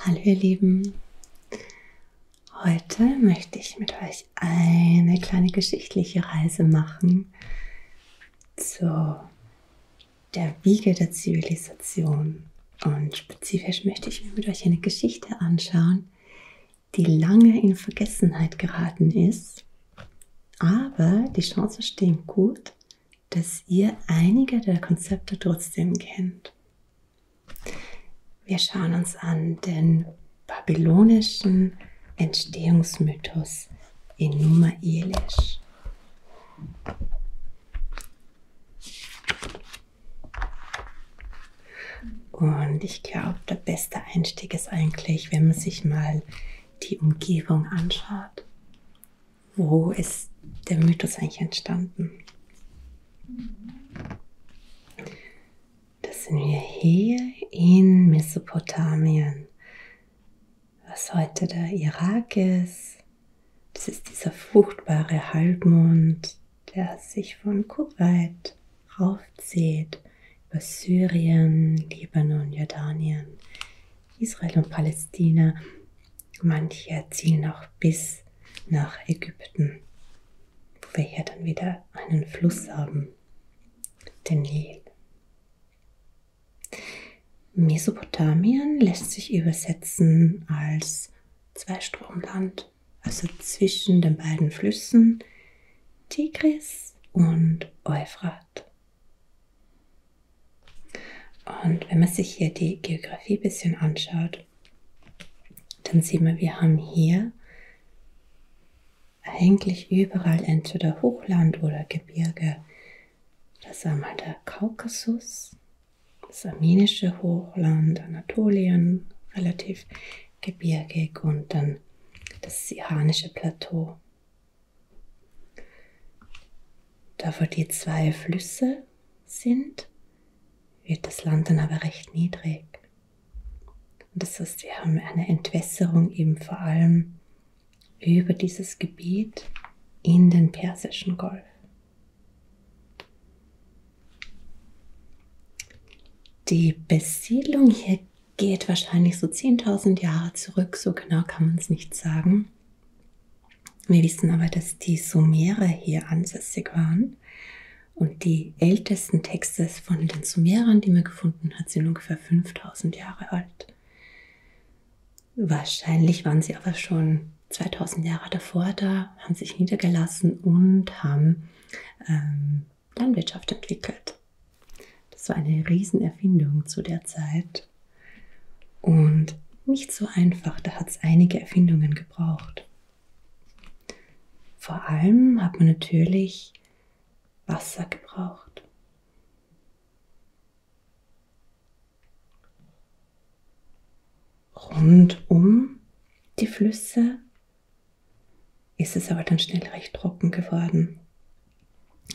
Hallo ihr Lieben, heute möchte ich mit euch eine kleine geschichtliche Reise machen zu der Wiege der Zivilisation und spezifisch möchte ich mir mit euch eine Geschichte anschauen, die lange in Vergessenheit geraten ist, aber die Chancen stehen gut, dass ihr einige der Konzepte trotzdem kennt. Wir schauen uns an den babylonischen Entstehungsmythos Enuma Elish. Und ich glaube, der beste Einstieg ist eigentlich, wenn man sich mal die Umgebung anschaut wo ist der Mythos eigentlich entstanden? Das sind wir hier in Mesopotamien, was heute der Irak ist. Das ist dieser fruchtbare Halbmond, der sich von Kuwait raufzieht über Syrien, Libanon, Jordanien Israel und Palästina. Manche ziehen auch bis nach Ägypten, wo wir hier dann wieder einen Fluss haben, den Nil. Mesopotamien lässt sich übersetzen als Zweistromland, also zwischen den beiden Flüssen Tigris und Euphrat. Und wenn man sich hier die Geografie ein bisschen anschaut, dann sieht man, wir haben hier eigentlich überall entweder Hochland oder Gebirge. Das war mal der Kaukasus, das armenische Hochland, Anatolien, relativ gebirgig und dann das Iranische Plateau. Da wo die zwei Flüsse sind, wird das Land dann aber recht niedrig. Und das heißt, wir haben eine Entwässerung eben vor allem über dieses Gebiet in den Persischen Golf. Die Besiedlung hier geht wahrscheinlich so 10.000 Jahre zurück, so genau kann man es nicht sagen. Wir wissen aber, dass die Sumerer hier ansässig waren und die ältesten Texte von den Sumerern, die man gefunden hat, sind ungefähr 5000 Jahre alt. Wahrscheinlich waren sie aber schon 2000 Jahre davor da, haben sich niedergelassen und haben ähm, Landwirtschaft entwickelt. Das war eine Riesenerfindung zu der Zeit wird. Und nicht so einfach, da hat es einige Erfindungen gebraucht. Vor allem hat man natürlich Wasser gebraucht. Rund um die Flüsse ist es aber dann schnell recht trocken geworden.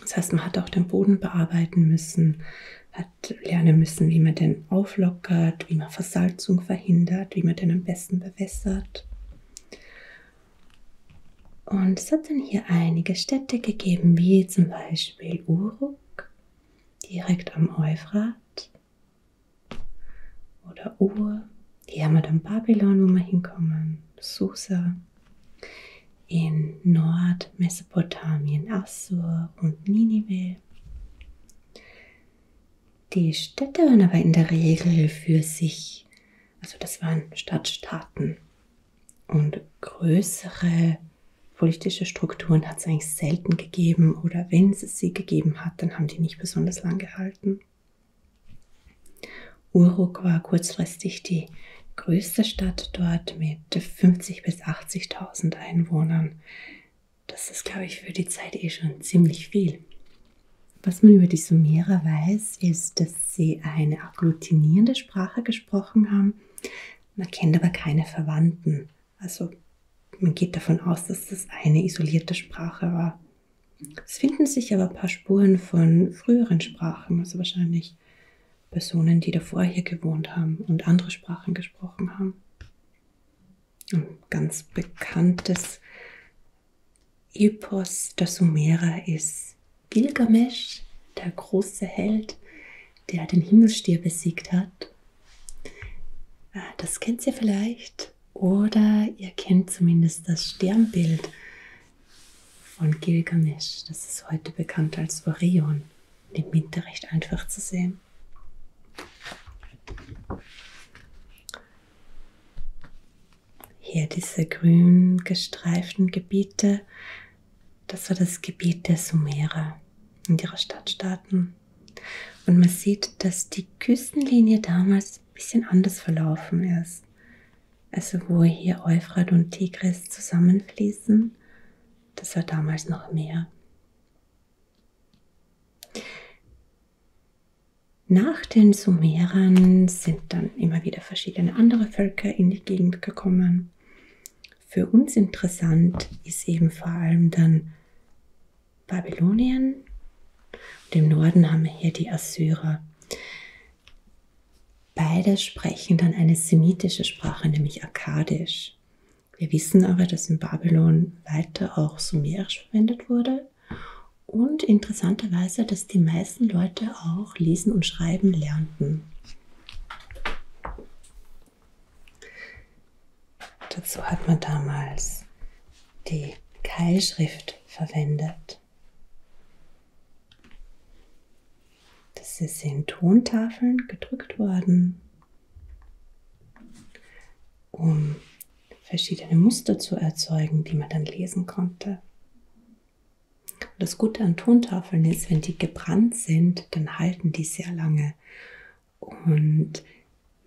Das heißt, man hat auch den Boden bearbeiten müssen, hat lernen müssen, wie man den auflockert, wie man Versalzung verhindert, wie man den am besten bewässert. Und es hat dann hier einige Städte gegeben, wie zum Beispiel Uruk, direkt am Euphrat, oder Ur. Hier haben wir dann Babylon, wo wir hinkommen, Susa in Nordmesopotamien Assur und Ninive. Die Städte waren aber in der Regel für sich, also das waren Stadtstaaten. Und größere politische Strukturen hat es eigentlich selten gegeben oder wenn es sie gegeben hat, dann haben die nicht besonders lang gehalten. Uruk war kurzfristig die größte Stadt dort mit mit 50 bis 80.000 Einwohnern. Das ist, glaube ich, für die Zeit eh schon ziemlich viel. Was man über die Sumerer weiß, ist, dass sie eine agglutinierende Sprache gesprochen haben. Man kennt aber keine Verwandten. Also man geht davon aus, dass das eine isolierte Sprache war. Es finden sich aber ein paar Spuren von früheren Sprachen, also wahrscheinlich Personen, die davor hier gewohnt haben und andere Sprachen gesprochen haben. Ein ganz bekanntes Epos der Sumerer ist Gilgamesh, der große Held, der den Himmelstier besiegt hat. Äh, das kennt ihr vielleicht oder ihr kennt zumindest das Sternbild von Gilgamesch. Das ist heute bekannt als Orion. Im Winterrecht einfach zu sehen. Hier diese grün gestreiften Gebiete, das war das Gebiet der Sumerer und ihrer Stadtstaaten. Und man sieht, dass die Küstenlinie damals ein bisschen anders verlaufen ist also wo hier Euphrat und Tigris zusammenfließen, das war damals noch mehr. Nach den Sumerern sind dann immer wieder verschiedene andere Völker in die Gegend gekommen. Für uns interessant ist eben vor allem dann Babylonien. Und im Norden haben wir hier die Assyrer. Beide sprechen dann eine semitische Sprache, nämlich Akkadisch. Wir wissen aber, dass in Babylon weiter auch Sumerisch verwendet wurde und interessanterweise, dass die meisten Leute auch lesen und schreiben lernten. Dazu hat man damals die Keilschrift verwendet. Das ist in Tontafeln gedrückt worden, um verschiedene Muster zu erzeugen, die man dann lesen konnte. Und das Gute an Tontafeln ist, wenn die gebrannt sind, dann halten die sehr lange. Und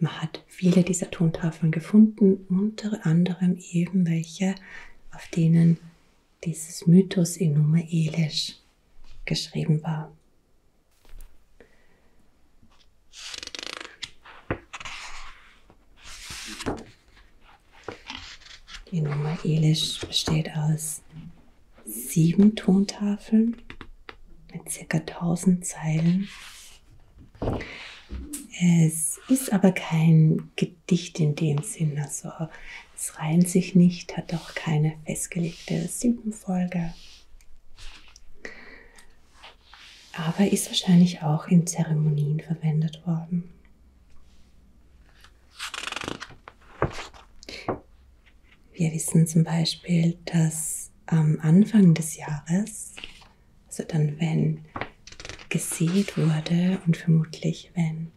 man hat viele dieser Tontafeln gefunden, unter anderem eben welche, auf denen dieses Mythos Enuma Elish geschrieben war. Die Nummer Elish besteht aus sieben Tontafeln mit circa 1000 Zeilen. Es ist aber kein dicht in dem Sinn. Also es reihen sich nicht, hat auch keine festgelegte Silbenfolge. Aber ist wahrscheinlich auch in Zeremonien verwendet worden. Wir wissen zum Beispiel, dass am Anfang des Jahres, also dann, wenn gesät wurde und vermutlich, wenn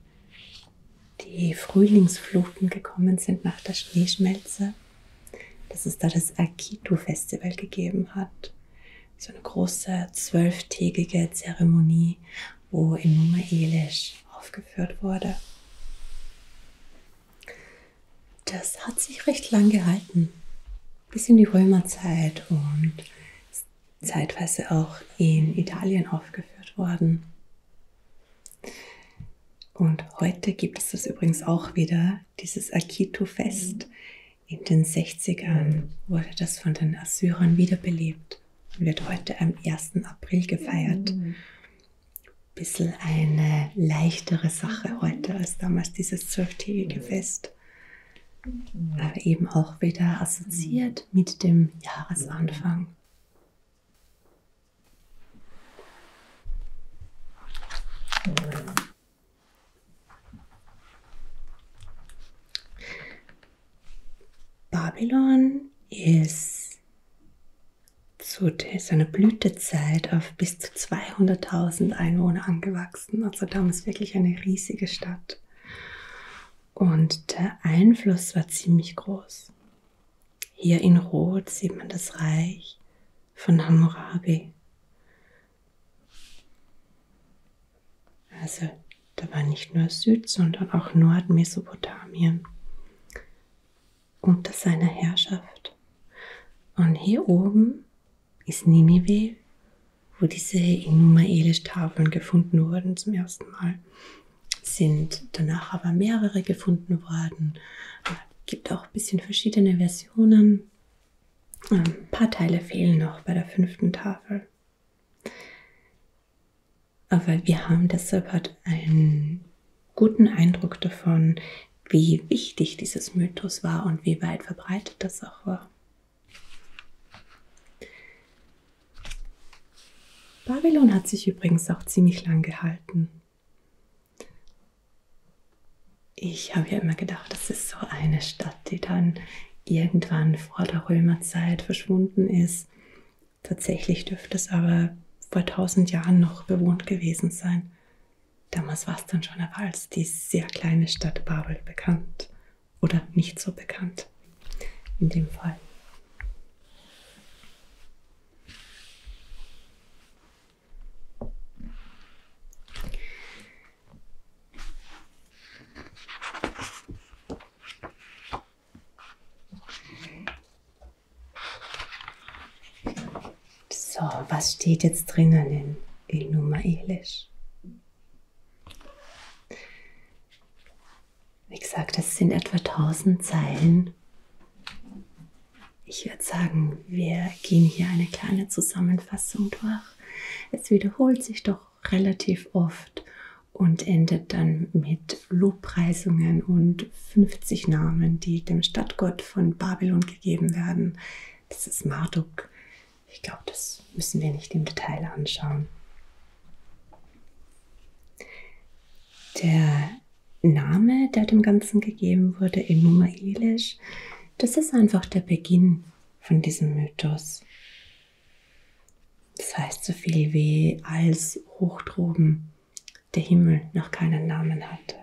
die Frühlingsfluten gekommen sind nach der Schneeschmelze, dass es da das Akito-Festival gegeben hat. So eine große zwölftägige Zeremonie, wo in Nummer Elish aufgeführt wurde. Das hat sich recht lang gehalten, bis in die Römerzeit und ist zeitweise auch in Italien aufgeführt worden. Und heute gibt es das übrigens auch wieder, dieses Akito-Fest. In den 60ern wurde das von den Assyrern wiederbelebt und wird heute am 1. April gefeiert. Ein bisschen eine leichtere Sache heute als damals dieses zwölftägige Fest. Aber eben auch wieder assoziiert wird mit dem Jahresanfang. Babylon ist zu seiner Blütezeit auf bis zu 200.000 Einwohner angewachsen. Also damals wirklich eine riesige Stadt. Und der Einfluss war ziemlich groß. Hier in Rot sieht man das Reich von Hammurabi. Also da war nicht nur Süd, sondern auch Nordmesopotamien unter seiner Herrschaft. Und hier oben ist Ninive wo diese Enuma-Elish-Tafeln gefunden wurden zum ersten Mal. Sind danach aber mehrere gefunden worden. Gibt auch ein bisschen verschiedene Versionen. Ähm, ein paar Teile fehlen noch bei der fünften Tafel. Aber wir haben deshalb halt einen guten Eindruck davon, wie wichtig dieses Mythos war und wie weit verbreitet das auch war. Babylon hat sich übrigens auch ziemlich lang gehalten. Ich habe ja immer gedacht, das ist so eine Stadt, die dann irgendwann vor der Römerzeit verschwunden ist. Tatsächlich dürfte es aber vor tausend Jahren noch bewohnt gewesen sein. Damals war es dann schon aber als die sehr kleine Stadt Babel bekannt oder nicht so bekannt in dem Fall. So, was steht jetzt drinnen in, in Nummer Elish? Wie gesagt, das sind etwa 1000 Zeilen. Ich würde sagen, wir gehen hier eine kleine Zusammenfassung durch. Es wiederholt sich doch relativ oft und endet dann mit Lobpreisungen und 50 Namen, die dem Stadtgott von Babylon gegeben werden. Das ist Marduk, ich glaube, das müssen wir nicht im Detail anschauen. Der Name, der dem Ganzen gegeben wurde, Enuma Elish, das ist einfach der Beginn von diesem Mythos. Das heißt so viel wie als hoch droben der Himmel noch keinen Namen hatte.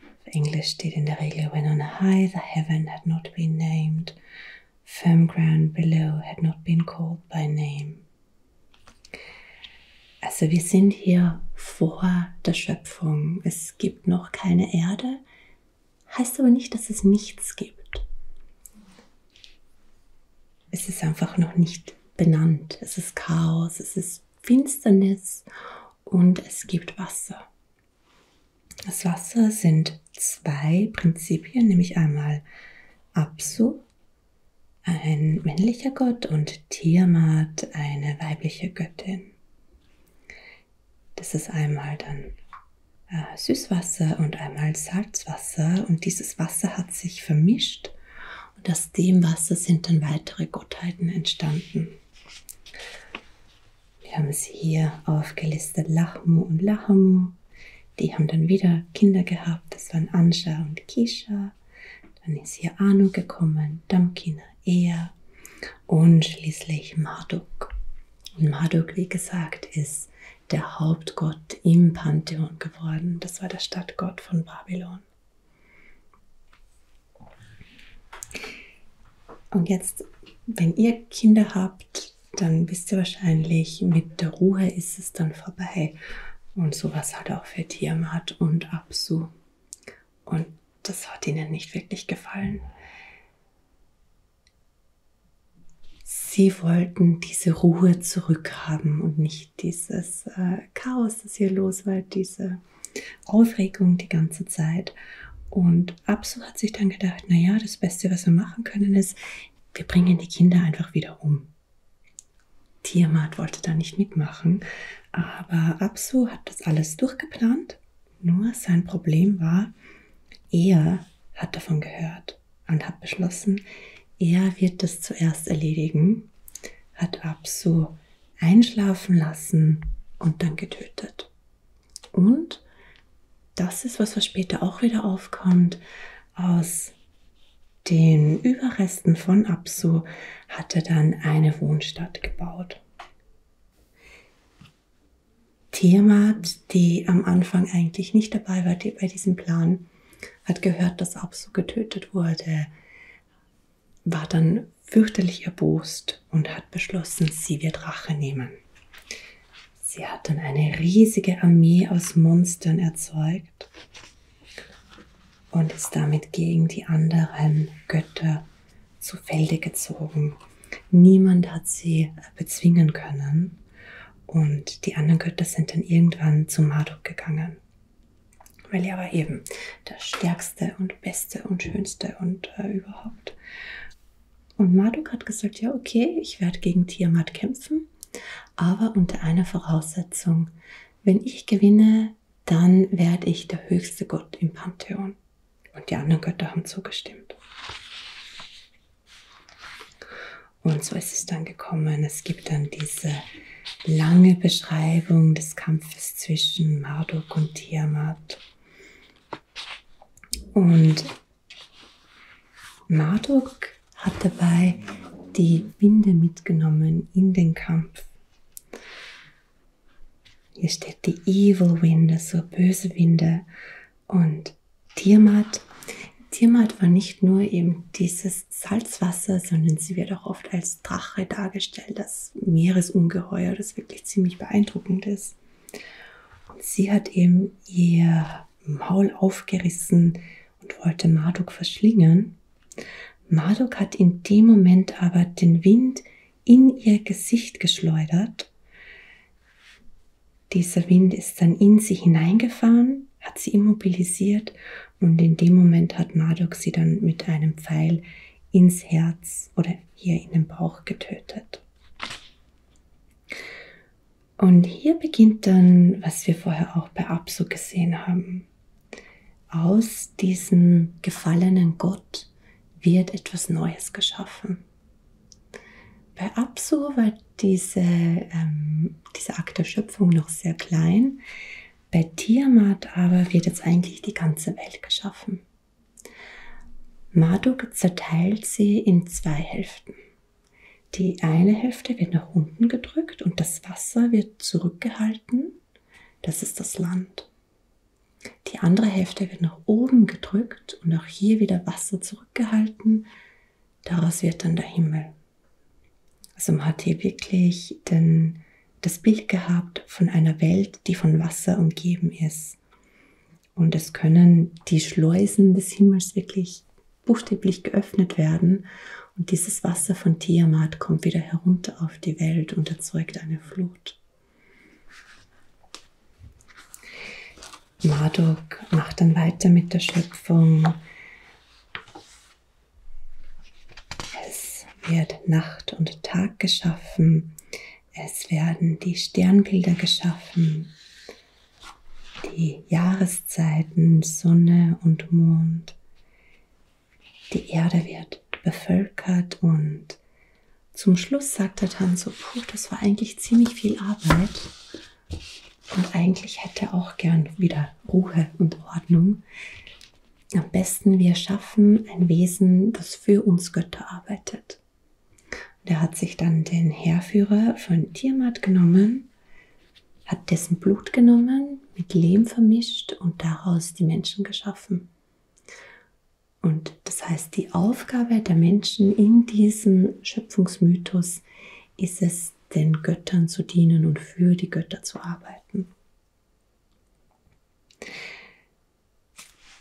Auf Englisch steht in der Regel When on high the heaven had not been named firm ground below had not been called by name. Also wir sind hier vor der Schöpfung. Es gibt noch keine Erde, heißt aber nicht, dass es nichts gibt. Es ist einfach noch nicht benannt. Es ist Chaos, es ist Finsternis und es gibt Wasser. Das Wasser sind zwei Prinzipien, nämlich einmal Apsu, ein männlicher Gott, und Tiamat, eine weibliche Göttin. Das ist einmal dann äh, Süßwasser und einmal Salzwasser und dieses Wasser hat sich vermischt und aus dem Wasser sind dann weitere Gottheiten entstanden. Wir haben es hier aufgelistet, Lachmu und Lahamu. Die haben dann wieder Kinder gehabt, das waren Anscha und Kisha. Dann ist hier Anu gekommen, Damkina, Ea und schließlich Marduk. Und Marduk, wie gesagt, ist der Hauptgott im Pantheon geworden. Das war der Stadtgott von Babylon. Und jetzt, wenn ihr Kinder habt, dann bist du wahrscheinlich mit der Ruhe ist es dann vorbei. Und sowas hat auch für Tiamat und Apsu. Und das hat ihnen nicht wirklich gefallen. Sie wollten diese Ruhe zurückhaben und nicht dieses äh, Chaos, das hier los war, diese Aufregung die ganze Zeit. Und und Absu hat sich dann gedacht, naja, das Beste, was wir machen können, ist, wir bringen die Kinder einfach wieder um. Tiamat wollte da nicht mitmachen, aber Absu hat das alles durchgeplant. Nur sein Problem war, er hat davon gehört und hat beschlossen, er wird das zuerst erledigen, hat Absu einschlafen lassen und dann getötet. Und das ist was, was später auch wieder aufkommt. Aus den Überresten von Apsu hat er dann eine Wohnstadt gebaut. Tiamat, die am Anfang eigentlich nicht dabei war die bei diesem Plan, hat gehört, dass Apsu getötet wurde, war dann fürchterlich erbost und hat beschlossen, sie wird Rache nehmen. Sie hat dann eine riesige Armee aus Monstern erzeugt und ist damit gegen die anderen Götter zu Felde gezogen. Niemand hat sie bezwingen können und die anderen Götter sind dann irgendwann zu Marduk gegangen. Weil er war eben der stärkste und beste und schönste und äh, überhaupt. Und Marduk hat gesagt, ja, okay, ich werde gegen Tiamat kämpfen, aber unter einer Voraussetzung. Wenn ich gewinne, dann werde ich der höchste Gott im Pantheon. Und die anderen Götter haben zugestimmt. Und so ist es dann gekommen. Es gibt dann diese lange Beschreibung des Kampfes zwischen Marduk und Tiamat. Und Marduk hat dabei die Winde mitgenommen in den Kampf. Hier steht die Evil Winde, also böse Winde. Und Tiamat. Tiamat war nicht nur eben dieses Salzwasser, sondern sie wird auch oft als Drache dargestellt, das Meeresungeheuer, das wirklich ziemlich beeindruckend ist. Und sie hat eben ihr Maul aufgerissen und wollte Marduk verschlingen. Marduk hat in dem Moment aber den Wind in ihr Gesicht geschleudert. Dieser Wind ist dann in sie hineingefahren, hat sie immobilisiert und in dem Moment hat Marduk sie dann mit einem Pfeil ins Herz oder hier in den Bauch getötet. Und hier beginnt dann, was wir vorher auch bei Apsu gesehen haben. Aus diesem gefallenen Gott wird etwas Neues geschaffen. Bei Apsu war diese, ähm, dieser Akt der Schöpfung noch sehr klein. Bei Tiamat aber wird jetzt eigentlich die ganze Welt geschaffen. Marduk zerteilt sie in zwei Hälften. Die eine Hälfte wird nach unten gedrückt und das Wasser wird zurückgehalten. Das ist das Land. Die andere Hälfte wird nach oben gedrückt und auch hier wieder Wasser zurückgehalten. Daraus wird dann der Himmel. Also man hat hier wirklich den, das Bild gehabt von einer Welt, die von Wasser umgeben ist. Und es können die Schleusen des Himmels wirklich buchstäblich geöffnet werden. Und dieses Wasser von Tiamat kommt wieder herunter auf die Welt und erzeugt eine Flut. Marduk macht dann weiter mit der Schöpfung. Es wird Nacht und Tag geschaffen. Es werden die Sternbilder geschaffen, die Jahreszeiten, Sonne und Mond. Die Erde wird bevölkert und zum Schluss sagt der Tan so, puh, das war eigentlich ziemlich viel Arbeit und eigentlich hätte auch gern wieder Ruhe und Ordnung. Am besten wir schaffen ein Wesen, das für uns Götter arbeitet. Und er hat sich dann den Heerführer von Tiamat genommen, hat dessen Blut genommen, mit Lehm vermischt und daraus die Menschen geschaffen. Und das heißt, die Aufgabe der Menschen in diesem Schöpfungsmythos ist es, den Göttern zu dienen und für die Götter zu arbeiten.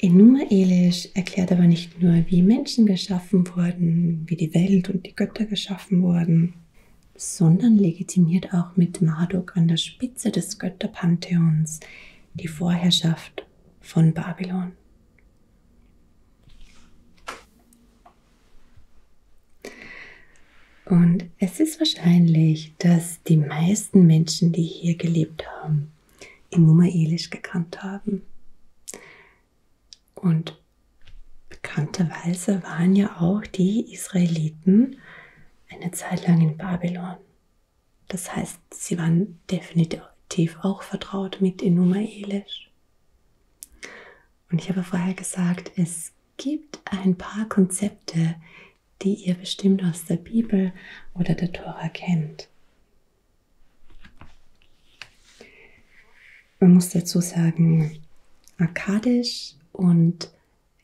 Enuma Elish erklärt aber nicht nur, wie Menschen geschaffen wurden, wie die Welt und die Götter geschaffen wurden, sondern legitimiert auch mit Marduk an der Spitze des Götterpantheons die Vorherrschaft von Babylon. Und es ist wahrscheinlich, dass die meisten Menschen, die hier gelebt haben, in Nummer Elish gekannt haben. Und bekannterweise waren ja auch die Israeliten eine Zeit lang in Babylon. Das heißt, sie waren definitiv auch vertraut mit Enuma Elish. Und ich habe vorher gesagt, es gibt ein paar Konzepte, die ihr bestimmt aus der Bibel oder der Tora kennt. Man muss dazu sagen, Akkadisch und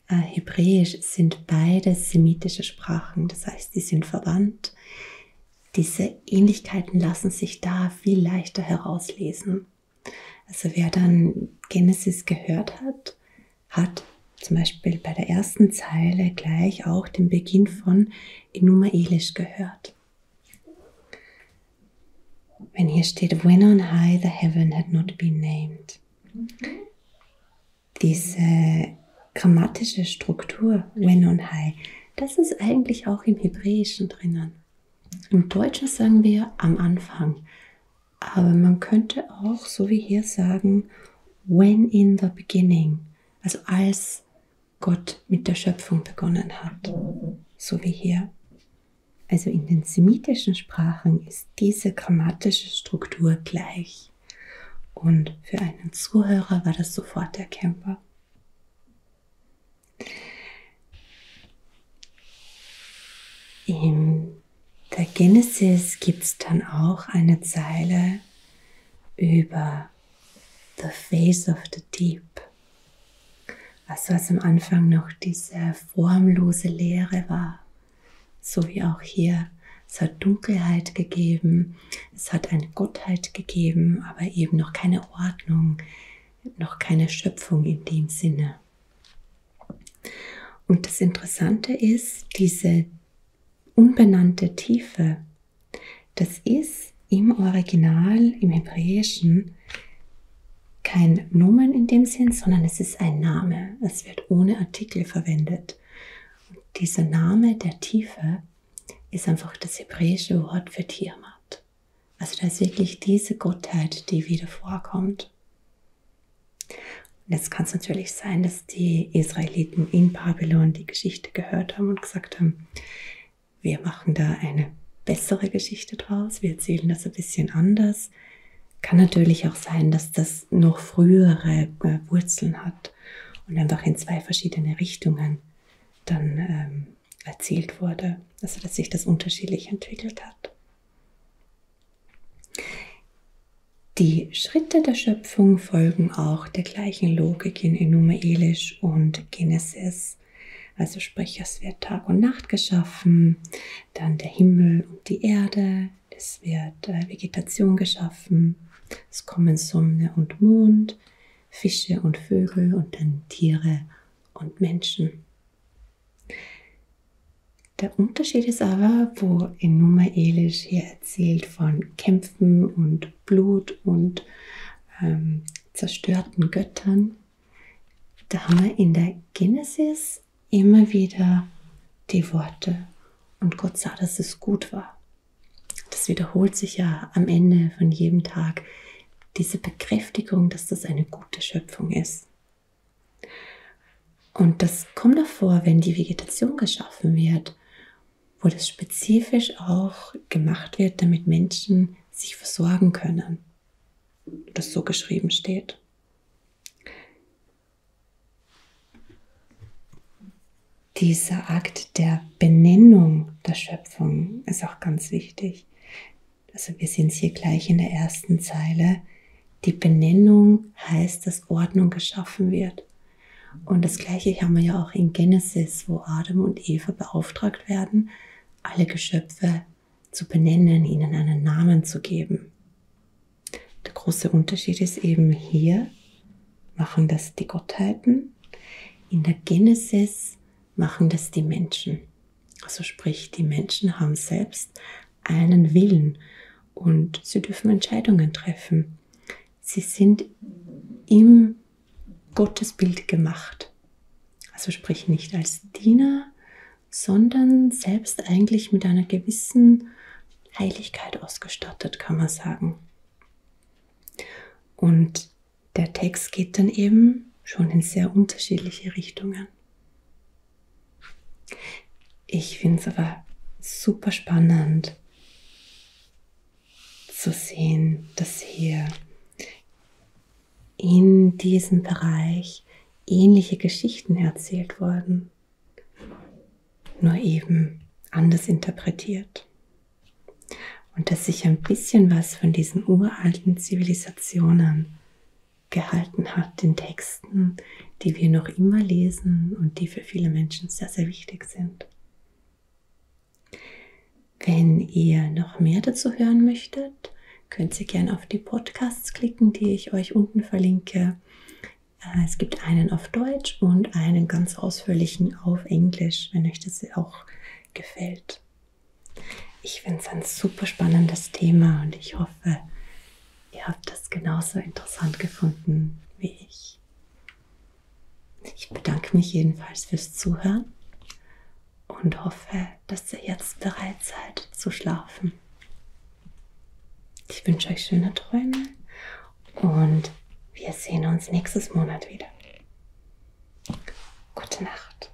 äh, Hebräisch sind beide semitische Sprachen, das heißt, die sind verwandt. Diese Ähnlichkeiten lassen sich da viel leichter herauslesen. Also wer dann Genesis gehört hat, hat zum Beispiel bei der ersten Zeile gleich auch den Beginn von Enuma Elish gehört. Wenn hier steht, when on high the heaven had not been named. Diese grammatische Struktur, when on high, das ist eigentlich auch im Hebräischen drinnen. Im Deutschen sagen wir am Anfang, aber man könnte auch, so wie hier, sagen, when in the beginning also als Gott mit der Schöpfung begonnen hat, so wie hier. Also in den semitischen Sprachen ist diese grammatische Struktur gleich. Und für einen Zuhörer war das sofort erkennbar. In der Genesis gibt es dann auch eine Zeile, über The Face of the Deep. Also was am Anfang noch diese formlose Leere war, so wie auch hier. Es hat Dunkelheit gegeben, es hat eine Gottheit gegeben, aber eben noch keine Ordnung, noch keine Schöpfung in dem Sinne. Und das Interessante ist, diese unbenannte Tiefe. Das ist im Original, im Hebräischen, kein Nomen in dem Sinn, sondern es ist ein Name. Es wird ohne Artikel verwendet. Und dieser Name der Tiefe ist einfach das hebräische Wort für Tiamat. Also da ist wirklich diese Gottheit, die wieder vorkommt. Und jetzt kann es natürlich sein, dass die Israeliten in Babylon die Geschichte gehört haben und gesagt haben, wir machen da eine bessere Geschichte draus, wir erzählen das ein bisschen anders. Kann natürlich auch sein, dass das noch frühere äh, Wurzeln hat und einfach in zwei verschiedene Richtungen dann ähm, erzählt wurde, also dass sich das unterschiedlich entwickelt hat. Die Schritte der Schöpfung folgen auch der gleichen Logik in Enuma-Elish und Genesis. Also sprich, es wird Tag und Nacht geschaffen, dann der Himmel und die Erde, es wird äh, Vegetation geschaffen, es kommen Sonne und Mond, Fische und Vögel und dann Tiere und Menschen. Der Unterschied ist aber, wo in Numa Elish hier erzählt von Kämpfen und Blut und ähm, zerstörten Göttern, da haben wir in der Genesis immer wieder die Worte und Gott sah, dass es gut war. Das wiederholt sich ja am Ende von jedem Tag, diese Bekräftigung, dass das eine gute Schöpfung ist. Und das kommt davor, wenn die Vegetation geschaffen wird, wo das spezifisch auch gemacht wird, damit Menschen sich versorgen können. Das so geschrieben steht. Dieser Akt der Benennung der Schöpfung ist auch ganz wichtig. Also wir sind hier gleich in der ersten Zeile. Die Benennung heißt, dass Ordnung geschaffen wird. Und das gleiche haben wir ja auch in Genesis, wo Adam und Eva beauftragt werden, alle Geschöpfe zu benennen, ihnen einen Namen zu geben. Der große Unterschied ist eben hier, machen das die Gottheiten, in der Genesis machen das die Menschen. Also sprich, die Menschen haben selbst einen Willen und sie dürfen Entscheidungen treffen. Sie sind im Gottesbild gemacht. Also sprich nicht als Diener, sondern selbst eigentlich mit einer gewissen Heiligkeit ausgestattet, kann man sagen. Und der Text geht dann eben schon in sehr unterschiedliche Richtungen. Ich finde es aber super spannend zu sehen, dass hier in diesem Bereich ähnliche Geschichten erzählt wurden, nur eben anders interpretiert. Und dass sich ein bisschen was von diesen uralten Zivilisationen gehalten hat in Texten. Texten, die wir noch immer lesen und die für viele Menschen sehr, sehr wichtig sind. Wenn ihr noch mehr dazu hören möchtet, könnt ihr gerne auf die Podcasts klicken, die ich euch unten verlinke. Äh, es gibt einen auf Deutsch und einen ganz ausführlichen auf Englisch, wenn euch das auch gefällt. Ich finde es ein super spannendes Thema und ich hoffe, ihr habt das genauso interessant gefunden wie ich. Ich bedanke mich jedenfalls fürs Zuhören und hoffe, dass ihr jetzt bereit seid zu schlafen. Ich wünsche euch schöne Träume und wir sehen uns nächstes Monat wieder. Gute Nacht.